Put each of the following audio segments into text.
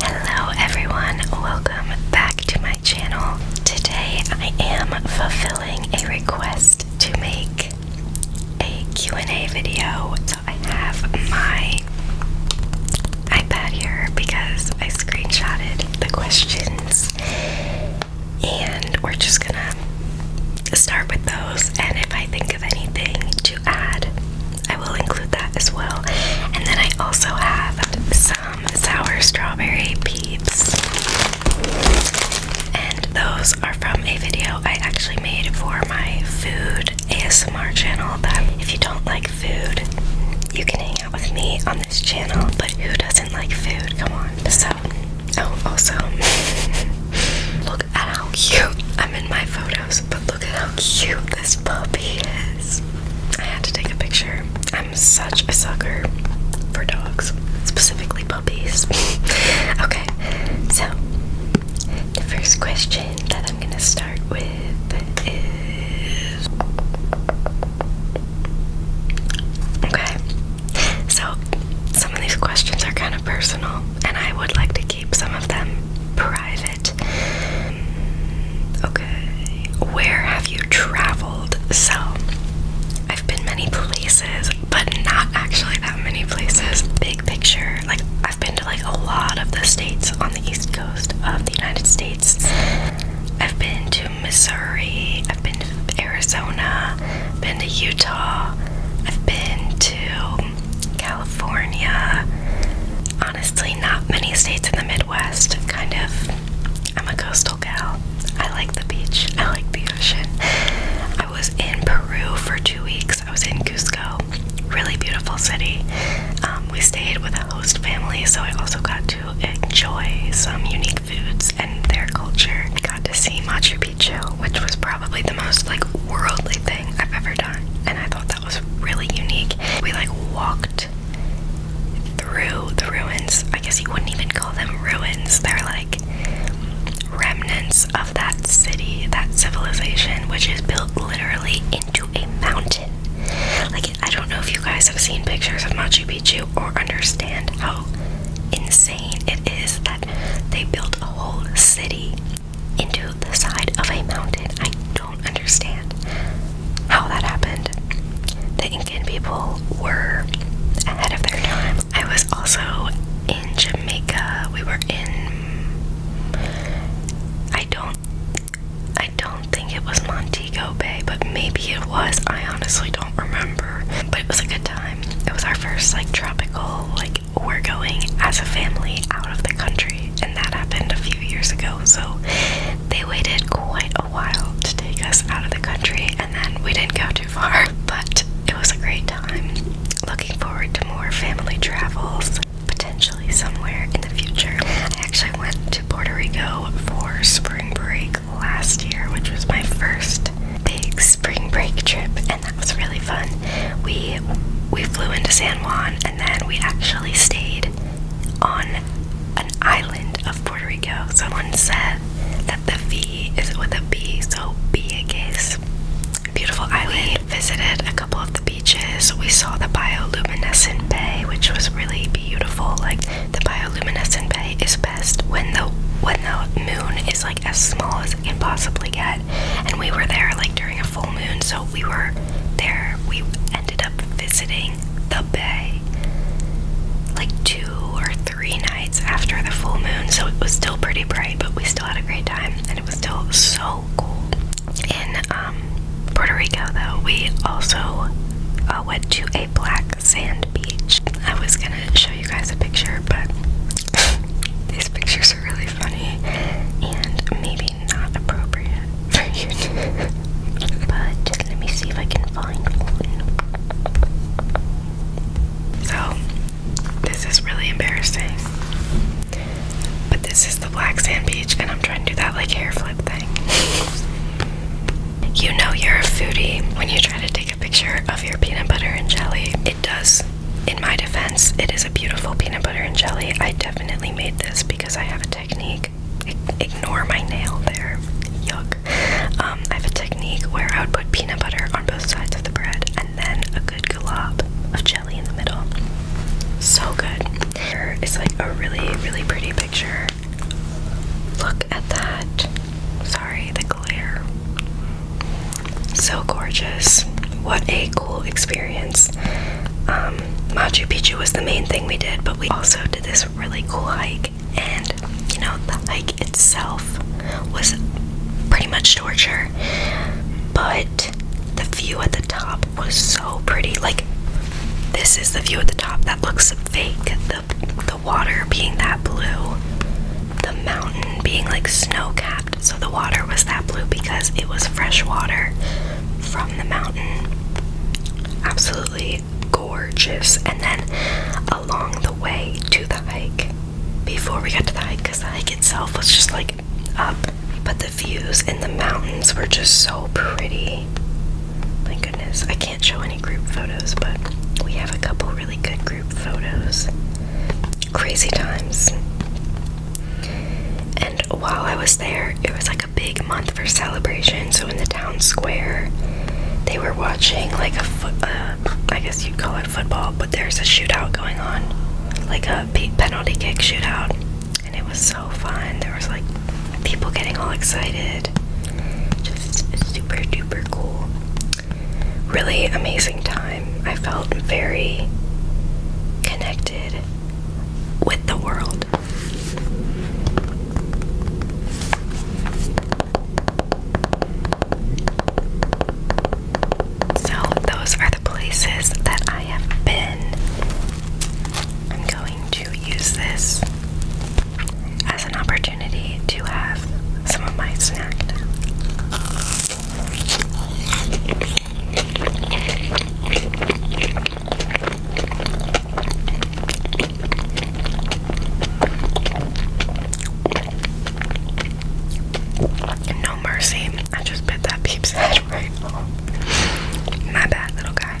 Hello everyone, welcome back to my channel. Today I am fulfilling a request to make a Q&A video. So I have my iPad here because I screenshotted the questions and we're just gonna start with those and if I think of anything add. I will include that as well. And then I also have some sour strawberry peeps. And those are from a video I actually made for my food ASMR channel that if you don't like food, you can hang out with me on this channel. But who doesn't like food? Come on. So, oh, also, look at how cute I'm in my photos, but Look at how cute this puppy is. I had to take a picture. I'm such a sucker for dogs, specifically puppies. okay, so the first question that I'm gonna start with is. Okay, so some of these questions are kind of personal, and I would like to keep some of them private. Okay, where have you traveled? So, I've been many places, but not actually that many places. Big picture, like, I've been to like a lot of the states on the east coast of the United States. I've been to Missouri, I've been to Arizona, I've been to Utah, I've been to to California. Honestly, not many states in the Midwest. Kind of, I'm a coastal gal. I like the beach, I like the ocean. I was in Peru for two weeks, I was in Cusco. Really beautiful city. Um, we stayed with a host family, so I also got to enjoy some unique foods and their culture. got to see Machu Picchu, which was probably the most like worldly thing I've ever done, and I thought that. It was really unique. We like walked through the ruins. I guess you wouldn't even call them ruins. They're like remnants of that city, that civilization, which is built literally into a mountain. Like, I don't know if you guys have seen pictures of Machu Picchu or understand how insane it is that they built a whole city into the side of a mountain. I don't understand how that happened. The Incan people were ahead of their time. I was also in Jamaica. We were in I don't I don't think it was Montego Bay, but maybe it was. I honestly don't remember. But it was a good time. It was our first like tropical like we're going as a family out of the country and that happened a few years ago so they waited quite a while to take us out of the country and then we didn't go too far but it was a great time looking forward to more family travels potentially somewhere in the future i actually went to puerto rico for spring break last year which was my first big spring break trip that was really fun. We we flew into San Juan and then we actually stayed on an island of Puerto Rico. Someone said that the V is with a B, so Vieques. Beautiful island. visited a couple of the beaches. We saw the bioluminescent bay, which was really beautiful. Like the bioluminescent bay is best when the when the moon is like as small as it can possibly get. And we were there like during full moon, so we were there. We ended up visiting the bay like two or three nights after the full moon, so it was still pretty bright, but we still had a great time, and it was still so cool. In um, Puerto Rico, though, we also uh, went to a black sand beach. I was gonna show you guys a picture, but these pictures are really funny and maybe not appropriate for YouTube. but let me see if I can find one. So, this is really embarrassing. But this is the black sand beach, and I'm trying to do that like hair flip thing. you know, you're a foodie when you try to take a picture of your peanut butter and jelly. It does in my defense, it is a beautiful peanut butter and jelly. I definitely made this because I have a technique. ignore my nail there. Yuck. Um, I have a technique where I would put peanut butter on both sides of the bread and then a good glob of jelly in the middle. So good. It's like a really, really pretty picture. Look at that. Sorry, the glare. So gorgeous. What a cool experience. Um, Machu Picchu was the main thing we did, but we also did this really cool hike. And you know, the hike itself was pretty much torture, but the view at the top was so pretty. Like, this is the view at the top that looks fake. The the water being that blue, the mountain being like snow capped. So the water was that blue because it was fresh water from the mountain. Absolutely gorgeous. And then along the way to the hike, before we got to the hike, because the hike itself was just like up, but the views in the mountains were just so pretty. My goodness, I can't show any group photos, but we have a couple really good group photos. Crazy times. And while I was there, it was like a big month for celebration. So in the town square, they were watching like a foot, uh, I guess you'd call it football, but there's a shootout going on, like a penalty kick shootout. And it was so fun. There was like people getting all excited. Just super duper cool. Really amazing time. I felt very connected with the world. So, those are the places that I have been. I'm going to use this as an opportunity to have some of my snack no mercy. I just bit that peep's My bad, little guy.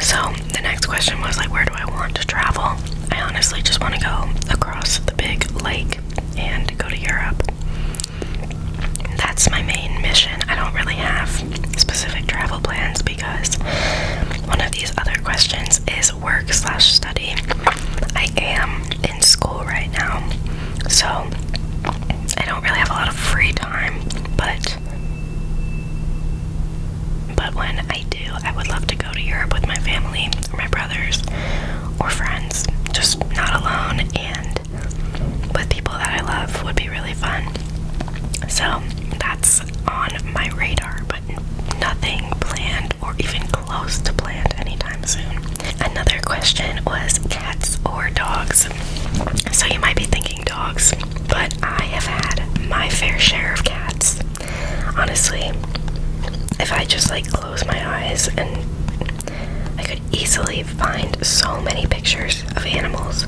so the next question was like where do I want to travel? I honestly just want to go across the big lake and go to Europe. That's my main mission. I don't really have specific travel plans because one of these other questions is work slash study. I am in school right now, so I don't really have a lot of free time, but but when I do, I would love to go to Europe with my family, or my brothers, or friends. Just not alone and with people that I love would be really fun. So that's on my radar, but nothing planned or even close to planned anytime soon. Another question was cats or dogs. So you might be thinking, dogs, but I have had my fair share of cats. Honestly, if I just like close my eyes and I could easily find so many pictures of animals.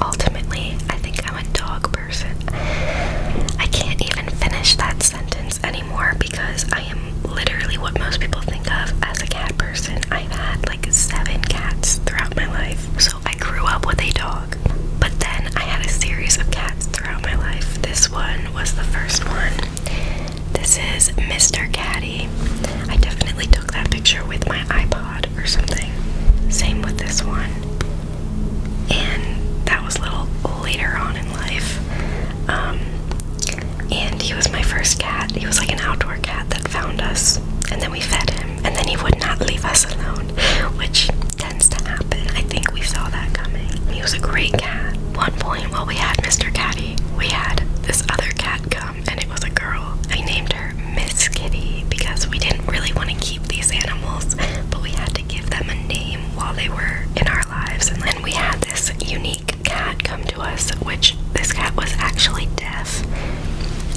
Ultimately, I think I'm a dog person. I can't even finish that sentence anymore because I am literally what most people think of as a cat person. I've had like seven cats throughout my life. So so I grew up with a dog, but then I had a series of cats throughout my life. This one was the first one. This is Mr. Caddy. I definitely took that picture with my iPod or something. Same with this one. And that was a little later on in life. Um, and he was my first cat. He was like an outdoor cat that found us. And then we fed him. And then he would not leave us alone, which tends to happen. I think we saw that coming. He was a great cat. One point while we had Mr. Catty, we had this other cat come and it was a girl. I named her Miss Kitty because we didn't really want to keep these animals, but we had to give them a name while they were in our lives. And then we had this unique cat come to us, which this cat was actually deaf.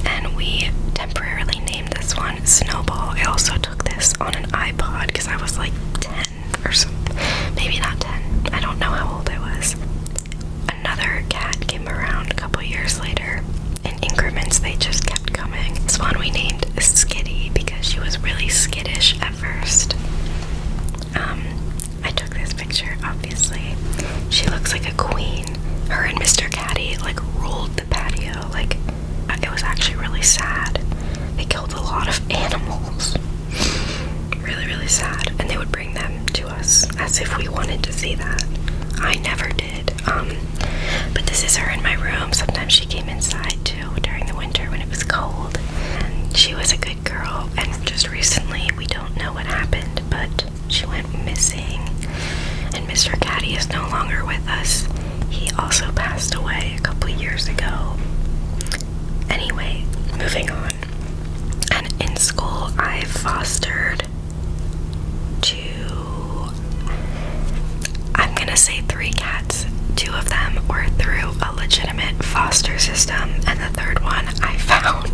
And we temporarily named this one Snowball. I also took this on an iPod because I was like 10 or something. Maybe not 10. I don't know how old I was. Another cat came around a couple years later. In increments, they just kept coming. This one we named Skitty because she was really skittish at first. Um, I took this picture, obviously. She looks like a queen. Her and Mr. Caddy like ruled the patio. Like it was actually really sad. They killed a lot of animals. really, really sad. And they would bring them to us as if we wanted to see that. I never did. Um, but this is her in my room. Sometimes she came inside too during the winter when it was cold. And she was a good girl. And just recently, we don't know what happened, but she went missing, and Mr. Caddy is no longer with us. He also passed away a couple years ago. Anyway, moving on. And in school, I fostered two, I'm gonna say three cats. Two of them were through a legitimate foster system, and the third one I found,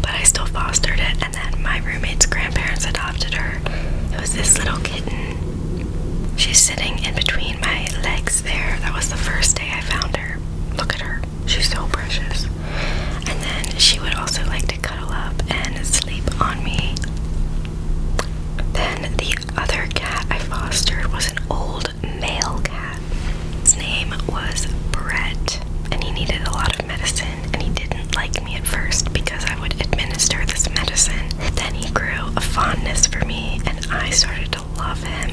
but I still fostered it and then my roommate's grandparents adopted her. It was this little kitten. She's sitting in between my legs there. That was the first day I found her. Look at her. She's so precious. And then she would also like to cuddle up and sleep on me. Then the other cat I fostered was an old male cat. His name was Brett, and he needed a lot of medicine and he didn't like me at first because I would administer this medicine. Then he grew a fondness for me, and I started to love him.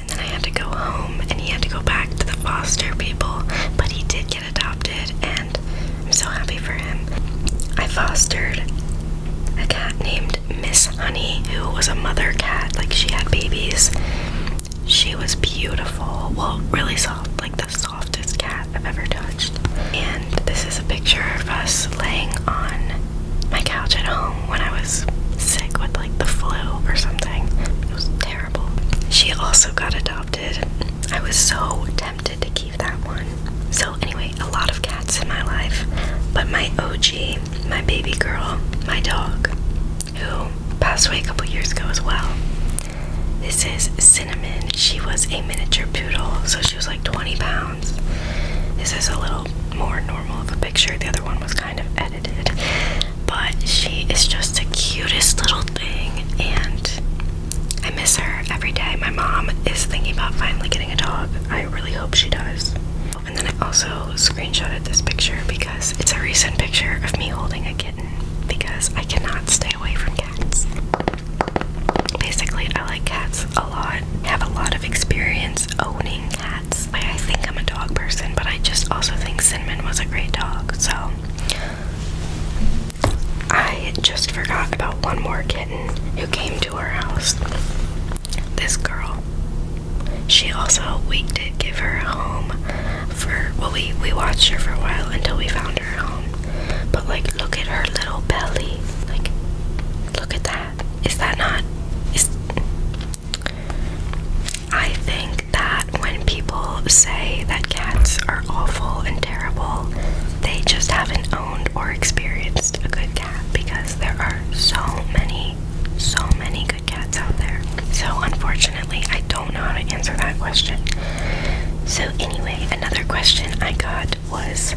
And then I had to go home, and he had to go back to the foster people, but he did get adopted, and I'm so happy for him. I fostered a cat named Miss Honey, who was a mother cat, like she had babies. She was beautiful, well, really soft, like that the softest cat I've ever touched. And this is a picture of us laying on my couch at home when I was sick with like the flu or something. It was terrible. She also got adopted. I was so tempted to keep that one. So, anyway, a lot of cats in my life, but my OG, my baby girl, my dog, who passed away a couple years ago as well, this is Cinnamon. She was a miniature poodle, so she was like 20 pounds. This is a little more normal of a picture. The other one was kind of edited. But she is just the cutest little thing, and I miss her every day. My mom is thinking about finally getting a dog. I really hope she does. And then I also screenshotted this picture because it's a recent picture of me holding a kitten because I cannot stop. Basically, I like cats a lot, have a lot of experience owning cats. I think I'm a dog person, but I just also think Cinnamon was a great dog, so. I just forgot about one more kitten who came to our house. This girl. She also, we did give her a home for, well, we, we watched her for a while until we found her home. But like look at her little belly. Like look at that. Is that not is I think that when people say that cats are awful and terrible, they just haven't owned or experienced a good cat because there are so many so many good cats out there. So unfortunately, I don't don't know how to answer that question. So, anyway, another question I got was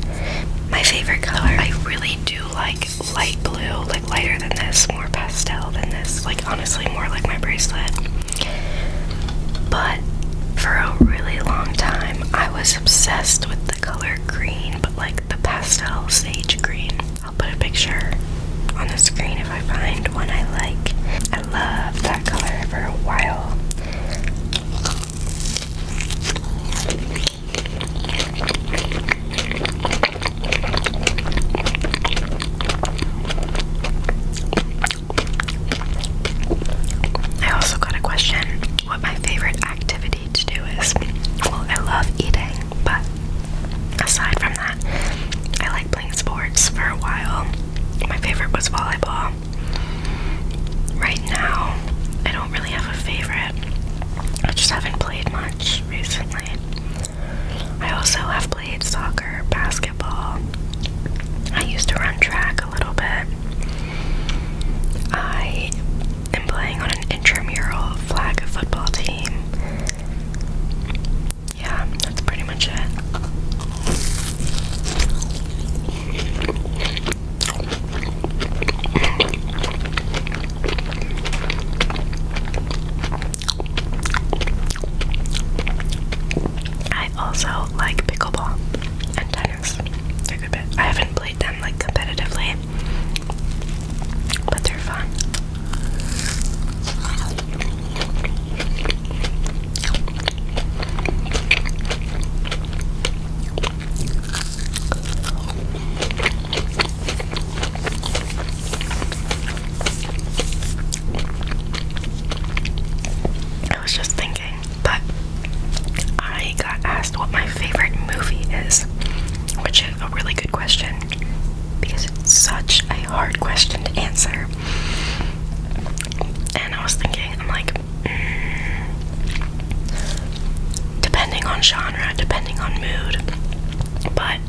my favorite color. I really do like light blue, like lighter than this, more pastel than this, like honestly, more like my bracelet. But for a really long time, I was obsessed with the color green, but like the pastel sage green. I'll put a picture on the screen if I find one I like. I love that for a while. I also got a question what my favorite activity to do is. Well, I love eating, but aside from that, I like playing sports for a while. My favorite was volleyball. Right now, I don't really have a favorite. I just haven't played much recently. I also have played soccer, basketball. I used to run track a little bit. I am playing on an intramural flag football team yeah, that's pretty much it. I also like pickleball and tennis a good I haven't played them like competitively, but they're fun. I was just thinking, but I got asked what my favorite movie is, which is a really good question because it's such a hard question to answer and I was thinking, I'm like, mm, depending on genre, depending on mood, but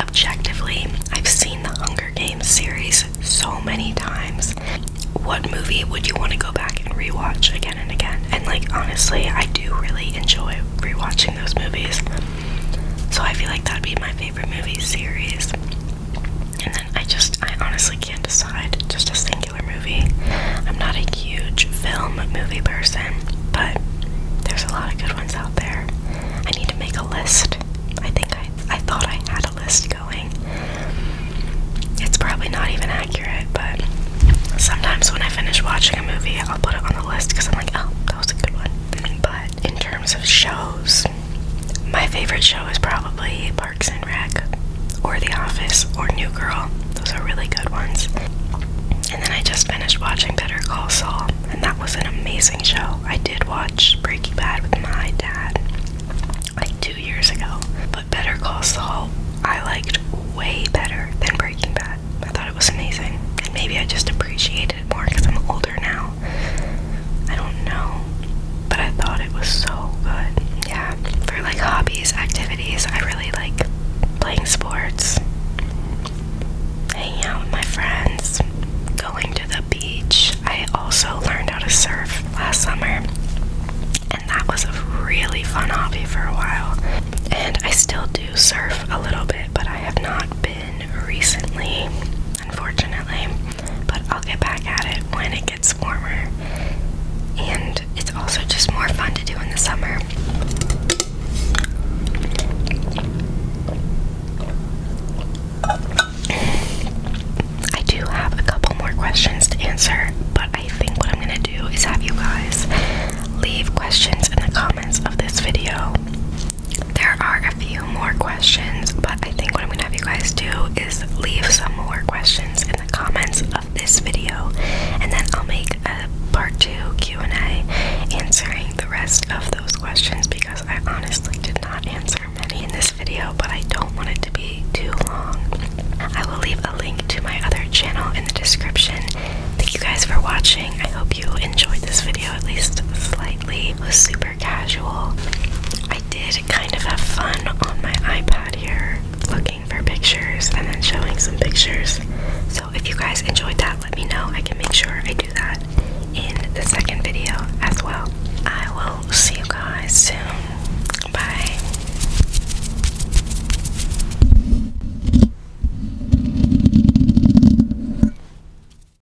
objectively, I've seen the Hunger Games series so many times. What movie would you want to go back and rewatch again and again? And like, honestly, I do really enjoy rewatching those movies, so I feel like that'd be my favorite movie series. And then I just, I honestly can't decide. Just a singular movie. I'm not a huge film movie person, but there's a lot of good ones out there. I need to make a list. I think I, I thought I had a list going. It's probably not even accurate, but sometimes when I finish watching a movie, I'll put it on the list because I'm like, oh, that was a good one. But in terms of shows, my favorite show is probably Parks and Rec, or The Office, or New Girl. Those are really good ones. And then I just finished watching Better Call Saul, and that was an amazing show. I did watch Breaking Bad with my dad like two years ago, but Better Call Saul I liked way better than Breaking Bad. I thought it was amazing, and maybe I just appreciated it more because I'm older now. I don't know, but I thought it was so good. Yeah, for like hobbies, activities, I really like playing sports, hanging out with my friends, going to the beach. I also learned how to surf last summer. And that was a really fun hobby for a while. And I still do surf a little bit, but I have not been recently unfortunately. But I'll get back at it when it gets warmer. And it's also just more fun to do in the summer. I do have a couple more questions to answer, but I think what I'm gonna do is have you guys leave questions in the comments of this video. There are a few more questions, but I think what I'm gonna have you guys do is leave some more questions in the comments of this video, and then I'll make a part two Q&A answering the rest of those questions because I honestly did not answer many in this video, but I don't want it to be too long. I will leave a link to my other channel in the description. Thank you guys for watching. I hope you enjoyed this video at least slightly. was super casual. I did kind of have fun on my iPad here looking for pictures and then showing some pictures. So if you guys enjoyed that, let me know. I can make sure I do that in the second video as well. I will see you guys soon. Bye.